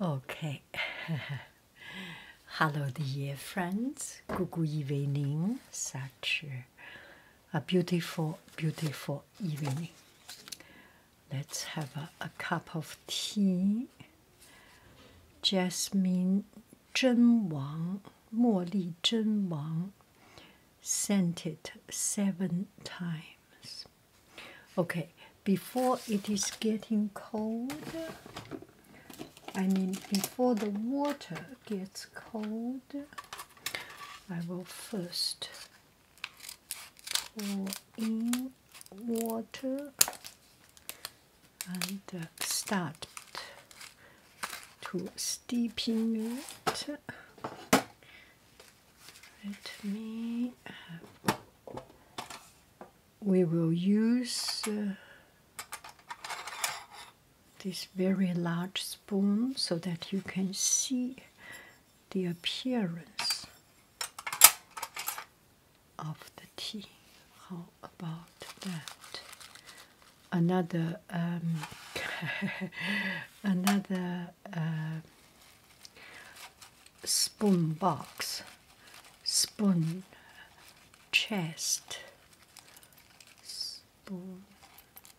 Okay. Hello, dear friends. Good evening. Such a beautiful, beautiful evening. Let's have a, cup of tea. Jasmine Zhen Wang, Li Zhen Wang, sent it seven times. Okay, before it is getting cold, I mean, before the water gets cold, I will first pour in water and uh, start to steeping it. Let me we will use uh, this very large spoon so that you can see the appearance of the tea. How about that? Another um, another spoon box, spoon chest, spoon.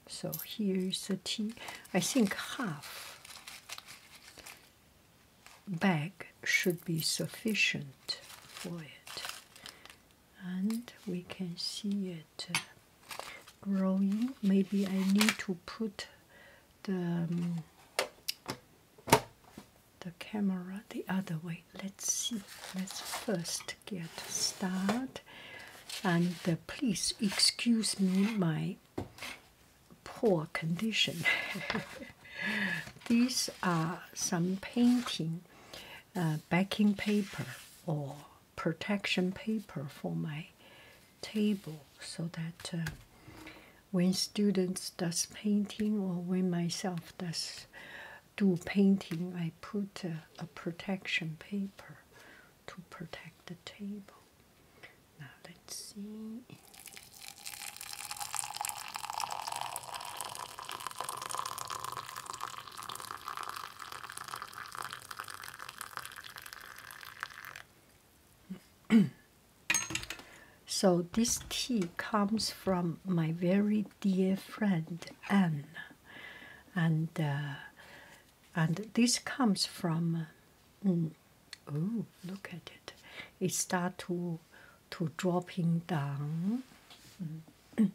So here's the tea. I think half bag should be sufficient for it. And we can see it growing. Maybe I need to put the um, the camera the other way. Let's see. Let's first get started. And please excuse me my poor condition. These are some painting uh, backing paper or protection paper for my table so that uh, when students does painting or when myself does do painting, I put a, protection paper to protect the table. Now let's see. so this tea comes from my very dear friend Anne, and uh, and this comes from. Mm, oh, look at it! It start to to dropping down. Are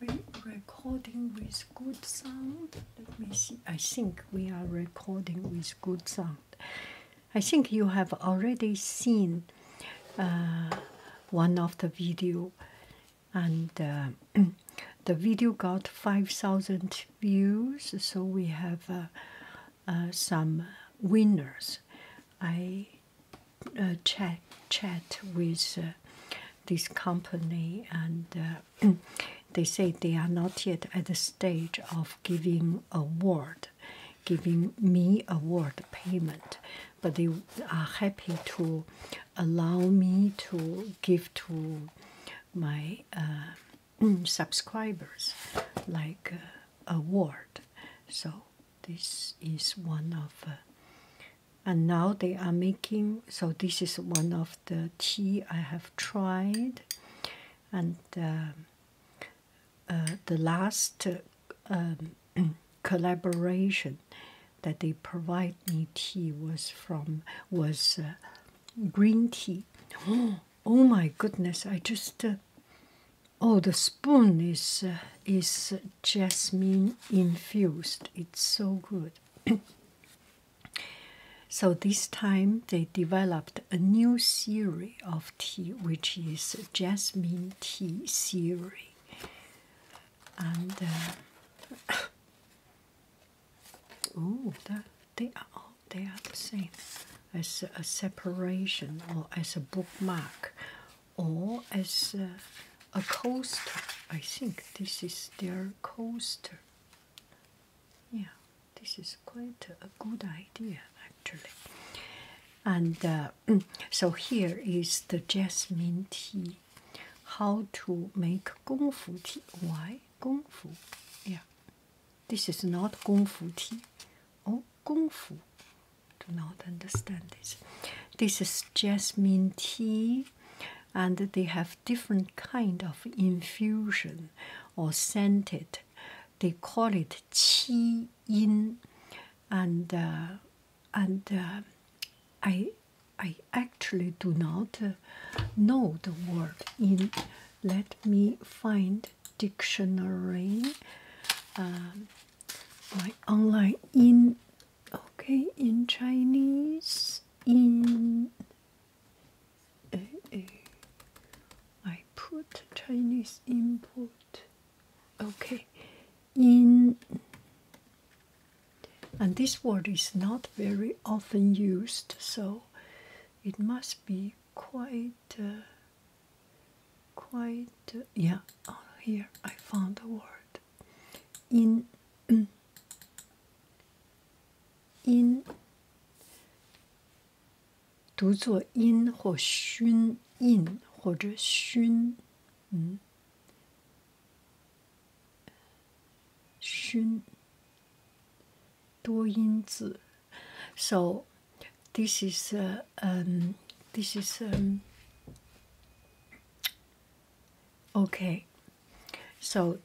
we recording with good sound? Let me see. I think we are recording with good sound. I think you have already seen uh, one of the video, and uh, the video got five thousand views. So we have uh, some winners. I chat chat with this company and. they say they are not yet at the stage of giving a word, giving me a word payment, but they are happy to allow me to give to my uh, subscribers like uh, a word. So this is one of. Uh, and now they are making so this is one of the tea i have tried and uh, the last um, collaboration that they provide me tea was from was uh, green tea. Oh, my goodness! I just uh, oh the spoon is is jasmine infused. It's so good. so this time they developed a new theory of tea, which is jasmine tea theory. And oh, they are all they are the same as a separation, or as a bookmark, or as a coaster. I think this is their coaster. Yeah, this is quite a good idea actually. And uh, so here is the jasmine tea. How to make gongfu tea? Why gongfu? Yeah, this is not gongfu tea. Oh, gongfu. Do not understand this. This is jasmine tea, and they have different kind of infusion or scented they call it qi in, and uh, and uh, I I actually do not uh, know the word in. Let me find dictionary. Um, my online in okay in Chinese in Eh, eh. I put Chinese input. Okay, in and this word is not very often used, so it must be quite, uh, quite. Uh, yeah, oh, here I found a word. In mm. in 读作音或熏印或者熏，嗯，熏多音字。So this is um this is um okay. So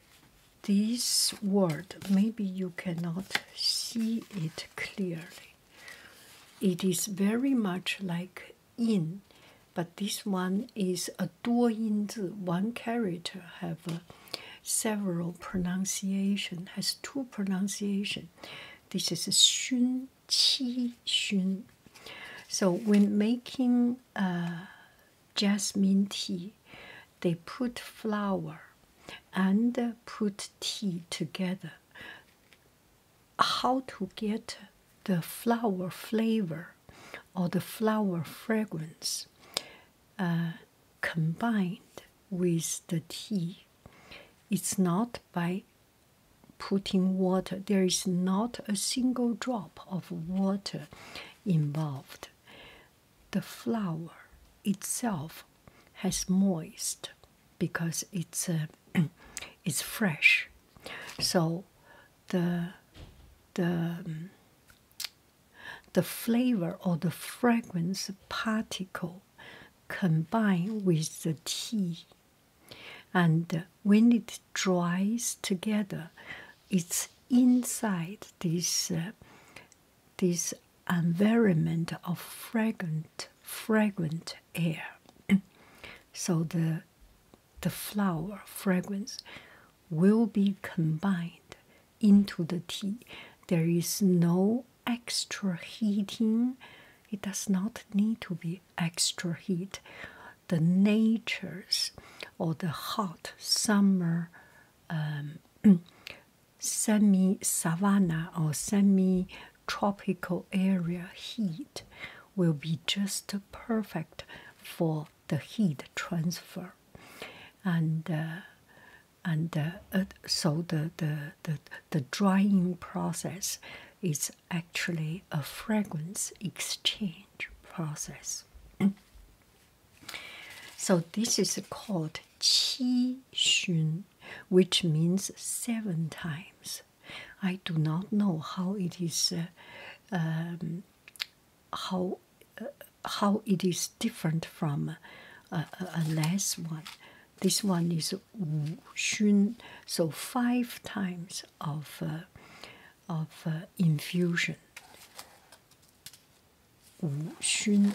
this word maybe you cannot see it clearly. It is very much like in, but this one is a duo One character have several pronunciation, has two pronunciation. This is xun qi xun. So when making uh, jasmine tea, they put flower and put tea together. How to get the flower flavor or the flower fragrance uh, combined with the tea? It's not by putting water, there is not a single drop of water involved. The flower itself has moist because it's uh, it's fresh so the the um, the flavor or the fragrance particle combined with the tea and when it dries together it's inside this uh, this environment of fragrant, fragrant air. so the the flower fragrance will be combined into the tea. There is no extra heating. It does not need to be extra heat. The nature's or the hot summer um, semi savanna or semi tropical area heat will be just perfect for the heat transfer and uh, and uh, uh, so the, the the the drying process is actually a fragrance exchange process so this is called qi xun which means seven times. I do not know how it is, uh, um, how uh, how it is different from uh, a, a one. This one is wu xun, so five times of uh, of infusion. Wu xun,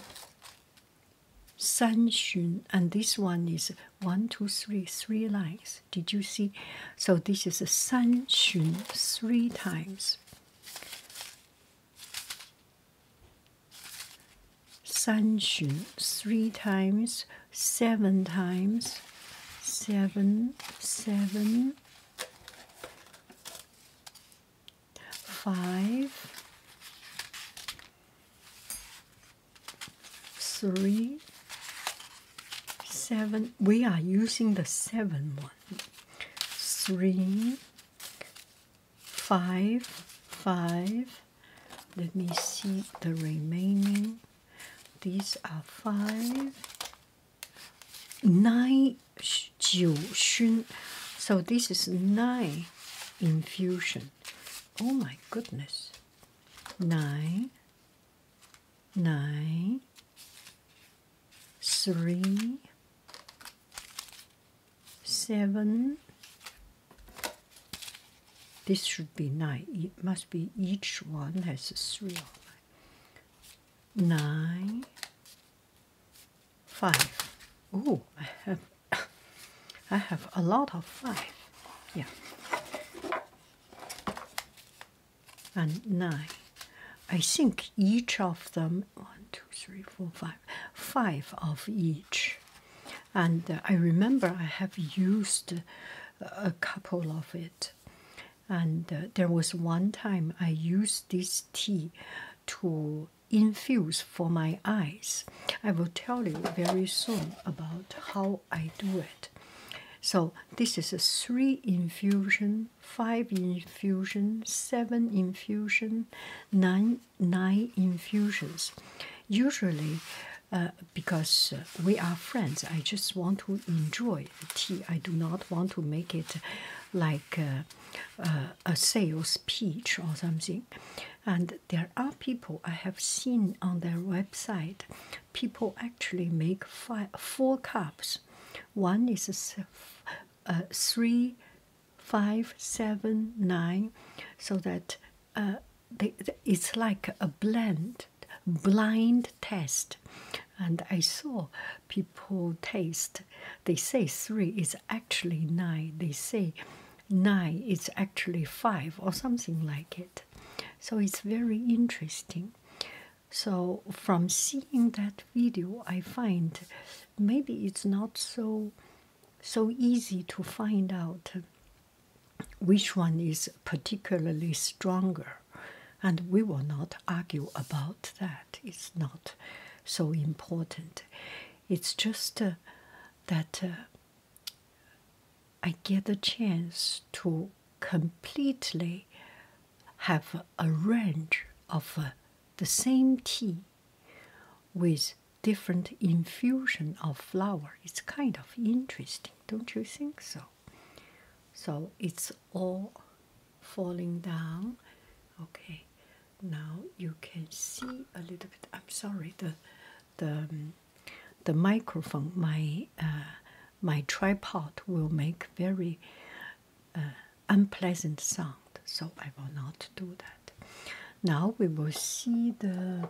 Sanxun, and this one is one, two, three, three lines. Did you see? So this is a Sanxun three times. Sanxun three times, seven times, seven, seven, five, three, seven. We are using the seven one. Three, five, five. Let me see the remaining. These are five, nine, So this is nine infusion. Oh my goodness. Nine, nine, three, seven. This should be nine. It must be each one has a three. Nine, five. Oh, I have I have a lot of five. Yeah. And nine. I think each of them, one, two, three, four, five, five of each. And uh, I remember I have used a couple of it. And uh, there was one time I used this tea to infuse for my eyes. I will tell you very soon about how I do it. So this is a three infusion, five infusion, seven infusion, nine nine infusions. Usually, uh, because uh, we are friends, I just want to enjoy tea. I do not want to make it like uh, a sales pitch or something. And there are people I have seen on their website, people actually make four cups. One is three, five, seven, nine, so that uh, it's like a blend, blind test. And I saw people taste. They say three is actually nine. They say nine is actually five or something like it. So it's very interesting. So from seeing that video, I find maybe it's not so so easy to find out which one is particularly stronger. And we will not argue about that. It's not so important. It's just uh, that uh, I get a chance to completely have a range of uh, the same tea with different infusion of flower. It's kind of interesting, don't you think so? So it's all falling down. Okay, now you can see a little bit. I'm sorry, the the um, the microphone, my uh, my tripod will make very uh, unpleasant sound. So I will not do that. Now we will see the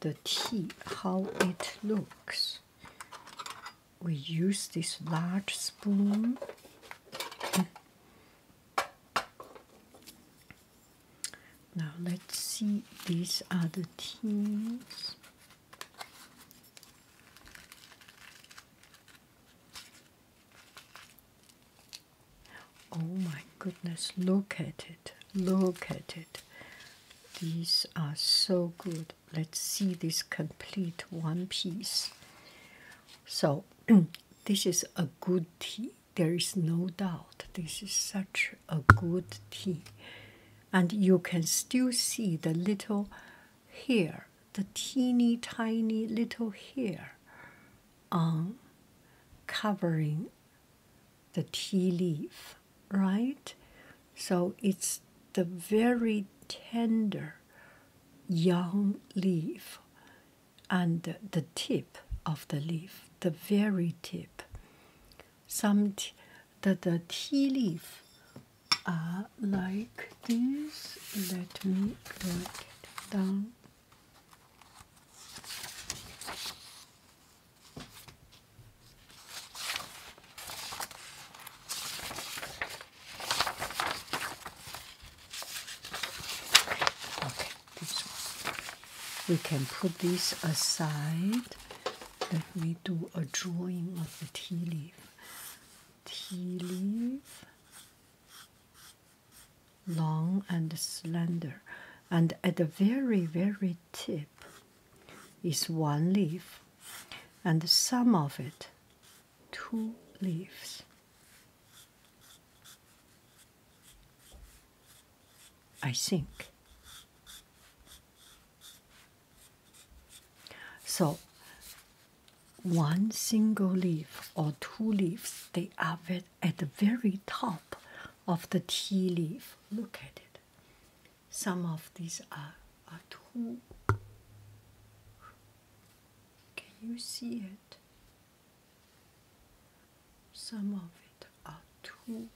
the tea, how it looks. We use this large spoon. Now let's see these other teams. Oh my goodness, look at it. Look at it. These are so good. Let's see this complete one piece. So, this is a good tee there is no doubt this is such a good tea. And you can still see the little hair, the teeny tiny little hair on covering the tea leaf, right? So it's the very tender young leaf and the tip of the leaf, the very tip. Some the, the tea leaf are like this. Let me write it down. Okay this one. We can put this aside. Let me do a drawing of the tea leaf. Tea leaf, long and slender, and at the very, very tip is one leaf, and the sum of it, two leaves. I think So, one single leaf or two leaves, they are at the very top of the tea leaf. Look at it. Some of these are, are two. Can you see it? Some of it are too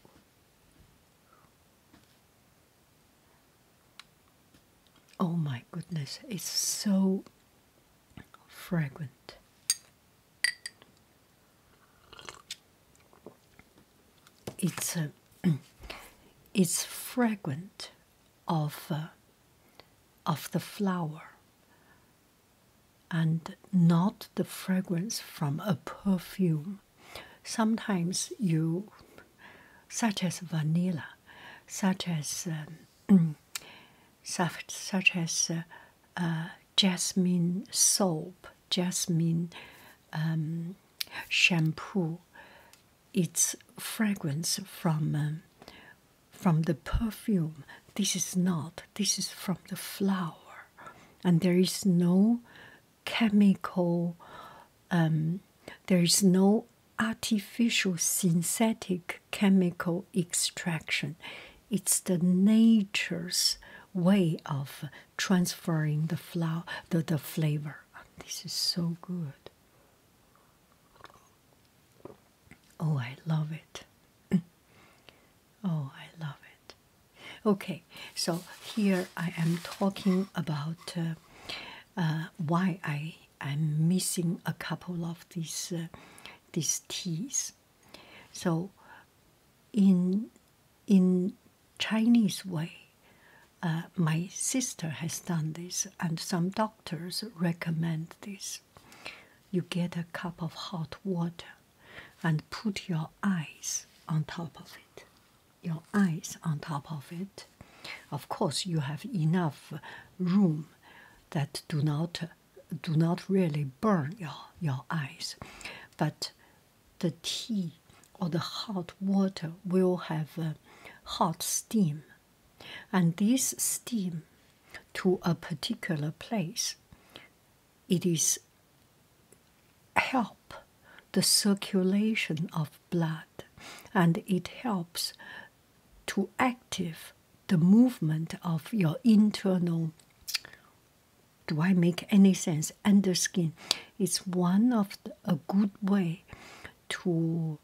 Oh my goodness, it's so fragrant. It's uh, a it's fragrant of uh, of the flower and not the fragrance from a perfume. Sometimes you, such as vanilla, such as um, such as uh, uh, jasmine soap, jasmine um, shampoo. It's fragrance from uh, from the perfume. This is not. This is from the flower and there is no chemical, um, there is no artificial synthetic chemical extraction. It's the nature's way of transferring the flower, the, the flavor. This is so good. Oh, I love it. Oh, I love it. Okay, so here I am talking about uh, uh, why I am missing a couple of these uh, these teas. So, in in Chinese way, uh, my sister has done this, and some doctors recommend this. You get a cup of hot water and put your eyes on top of it. Your eyes on top of it. Of course, you have enough room that do not do not really burn your your eyes, but the tea or the hot water will have uh, hot steam, and this steam to a particular place it is help the circulation of blood and it helps to active the movement of your internal do i make any sense under skin it's one of a good way to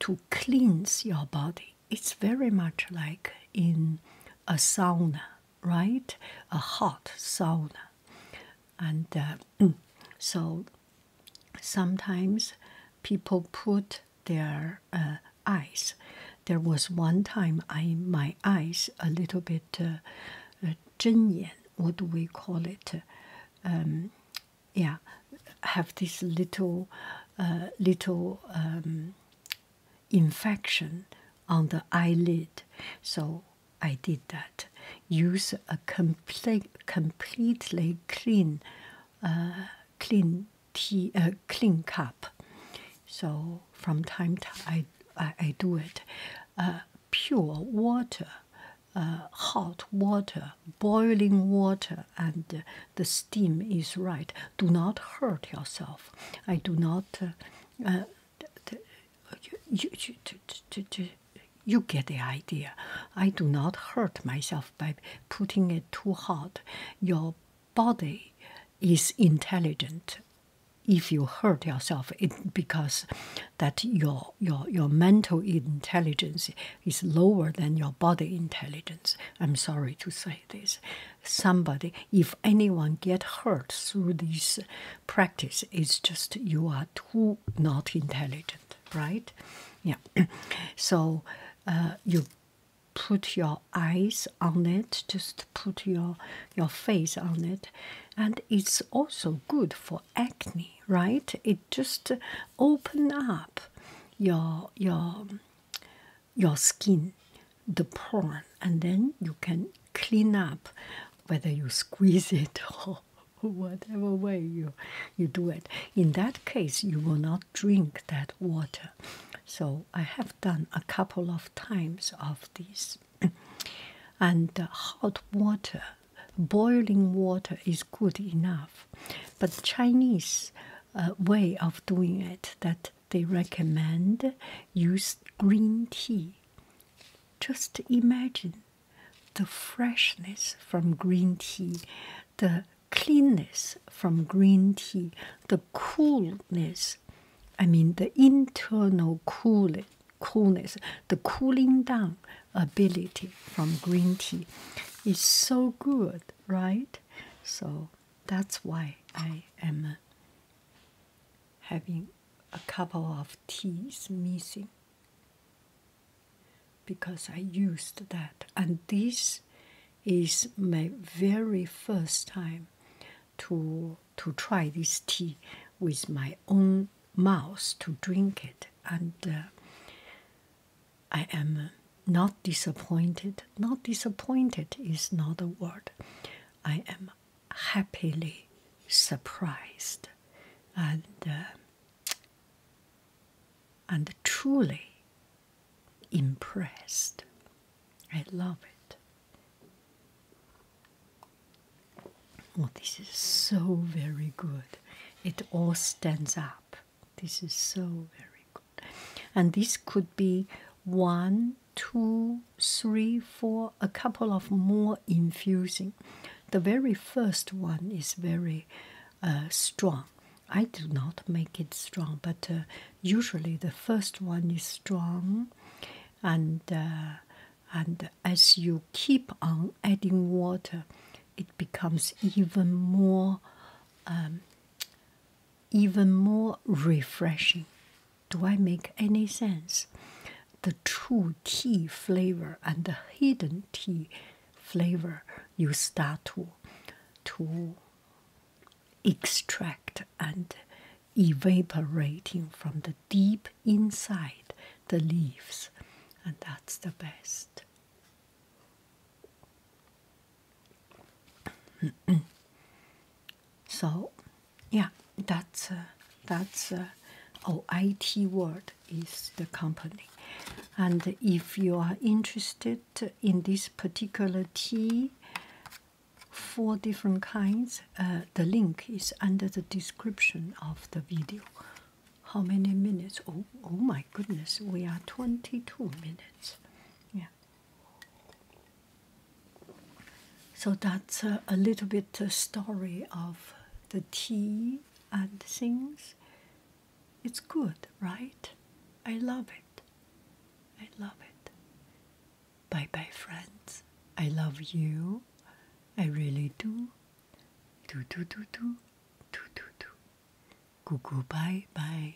to cleanse your body it's very much like in a sauna right? A hot sauna. And uh, so sometimes people put their uh, eyes. There was one time I my eyes a little bit uh, uh what do we call it? Um, yeah, have this little, little um, infection on the eyelid. So I did that. Use a complete, completely clean, uh, clean tea, uh, clean cup. So from time to I, I, do it. Uh, pure water, hot water, boiling water, and the steam is right. Do not hurt yourself. I do not you, get the idea. I do not hurt myself by putting it too hard. Your body is intelligent. If you hurt yourself, it because that your your your mental intelligence is lower than your body intelligence. I'm sorry to say this somebody if anyone get hurt through this practice it's just you are too not intelligent right yeah so uh, you put your eyes on it just put your your face on it and it's also good for acne right it just open up your your your skin the pond, and then you can clean up whether you squeeze it or whatever way you you do it in that case you will not drink that water so i have done a couple of times of this, and uh, hot water boiling water is good enough but chinese uh, way of doing it that they recommend use green tea. Just imagine the freshness from green tea, the cleanness from green tea, the coolness, I mean the internal cool coolness, the cooling down ability from green tea is so good, right? So that's why I am uh, having a couple of teas missing because I used that. And this is my very first time to to try this tea with my own mouth to drink it. And uh, I am not disappointed. Not disappointed is not a word. I am happily surprised and um, and truly impressed. I love it. Oh, this is so very good. It all stands up. This is so very good. And this could be one two, three, four, a couple of more infusing. The very first one is very uh, strong. I do not make it strong, but uh, usually the first one is strong, and uh, and as you keep on adding water, it becomes even more, um, even more refreshing. Do I make any sense? The true tea flavor and the hidden tea flavor you start to, to extract and evaporating from the deep inside the leaves, and that's the best. so yeah, that's a uh, that's a uh, oh, IT word is the company, and if you are interested in this particular tea, four different kinds, uh, the link is under the description of the video. How many minutes? Oh, oh my goodness, we are twenty-two minutes. Yeah. So that's a little bit a story of the tea and things. It's good, right? I love it. I love it. Bye bye, friends. I love you. I really do. Do do do do do do do. Goo bye bye.